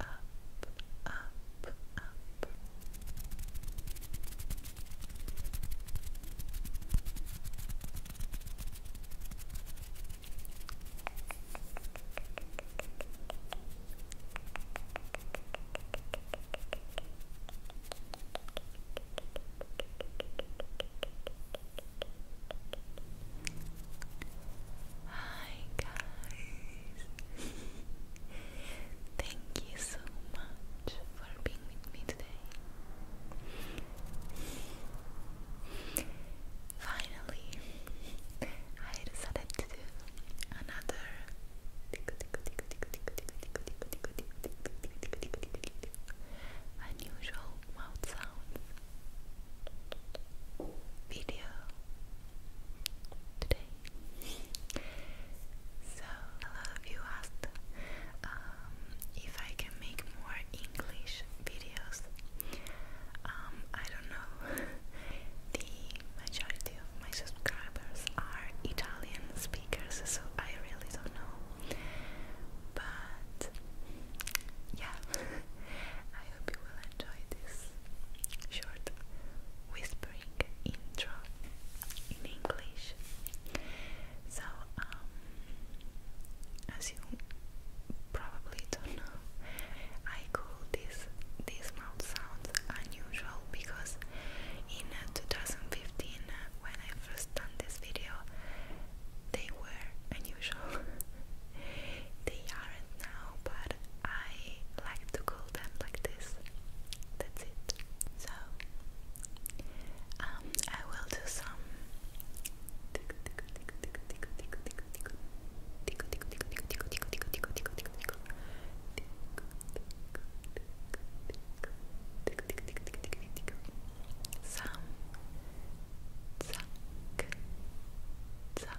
up, up, up. Hi guys! Thank you so much for being with me today. Finally, I decided to do another unusual mouth sounds video today. So, a lot of you asked um, if I can make more English videos. Um, I don't know. the majority of my subscribers are Italian speakers, so I really don't know. But yeah, I hope you will enjoy this short whispering intro in English. So, um, as you probably don't know, I call this these mouth sounds unusual because in uh, 2015, uh, when I first done this video, they were unusual. They aren't now, but I like to call them like this. That's it. So, um, I will do some. Some zack, zack,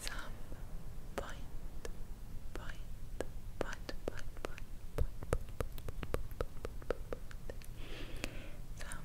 some point, point, point, point, point, point, point, some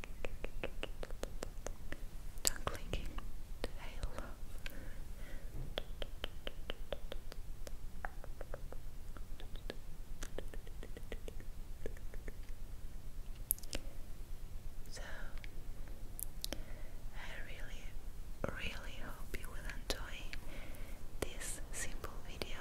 Tongue So, I really, really hope you will enjoy this simple video.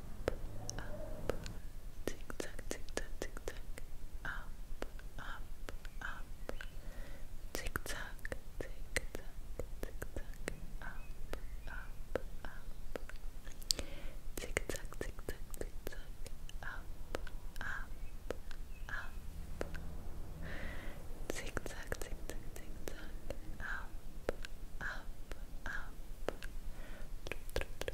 up, tick tock, tick tock, tick tock, up, up, up, tick tock, tick tock, tick tock, up, up, up, tick tock, tick tock, tick tock, up, up, up, tick tock, tick tock, tick tock, up, up, up. Tru, tru, tru,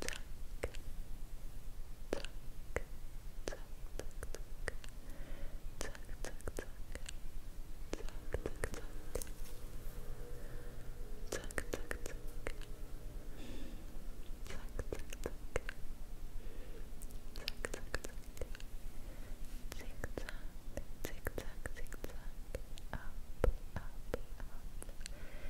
tick tick tick tick up up up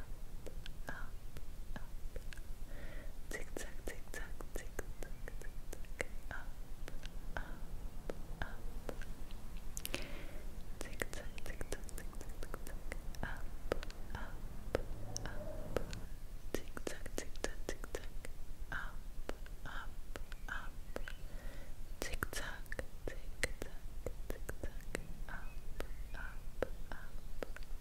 up, up, up. Tick tock, tick tock, tick tock, tick tock. Up, up, up. Tick tock, tick tock, tick tock, tick tock. Up, up, up. Tick tock, tick tock, tick tock. Up, up, up. Tick tock, tick tock, tick tock. Up, up, up.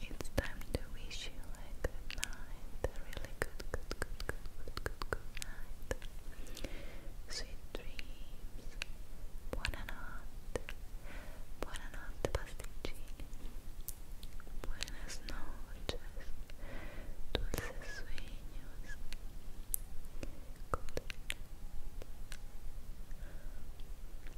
So it's time to wish you a good night, a really good, good, good, good, good, good, night. Sweet dreams. Buonanotte. Buonanotte pasticcini. Buenas noches. Dulces sueños. Good night.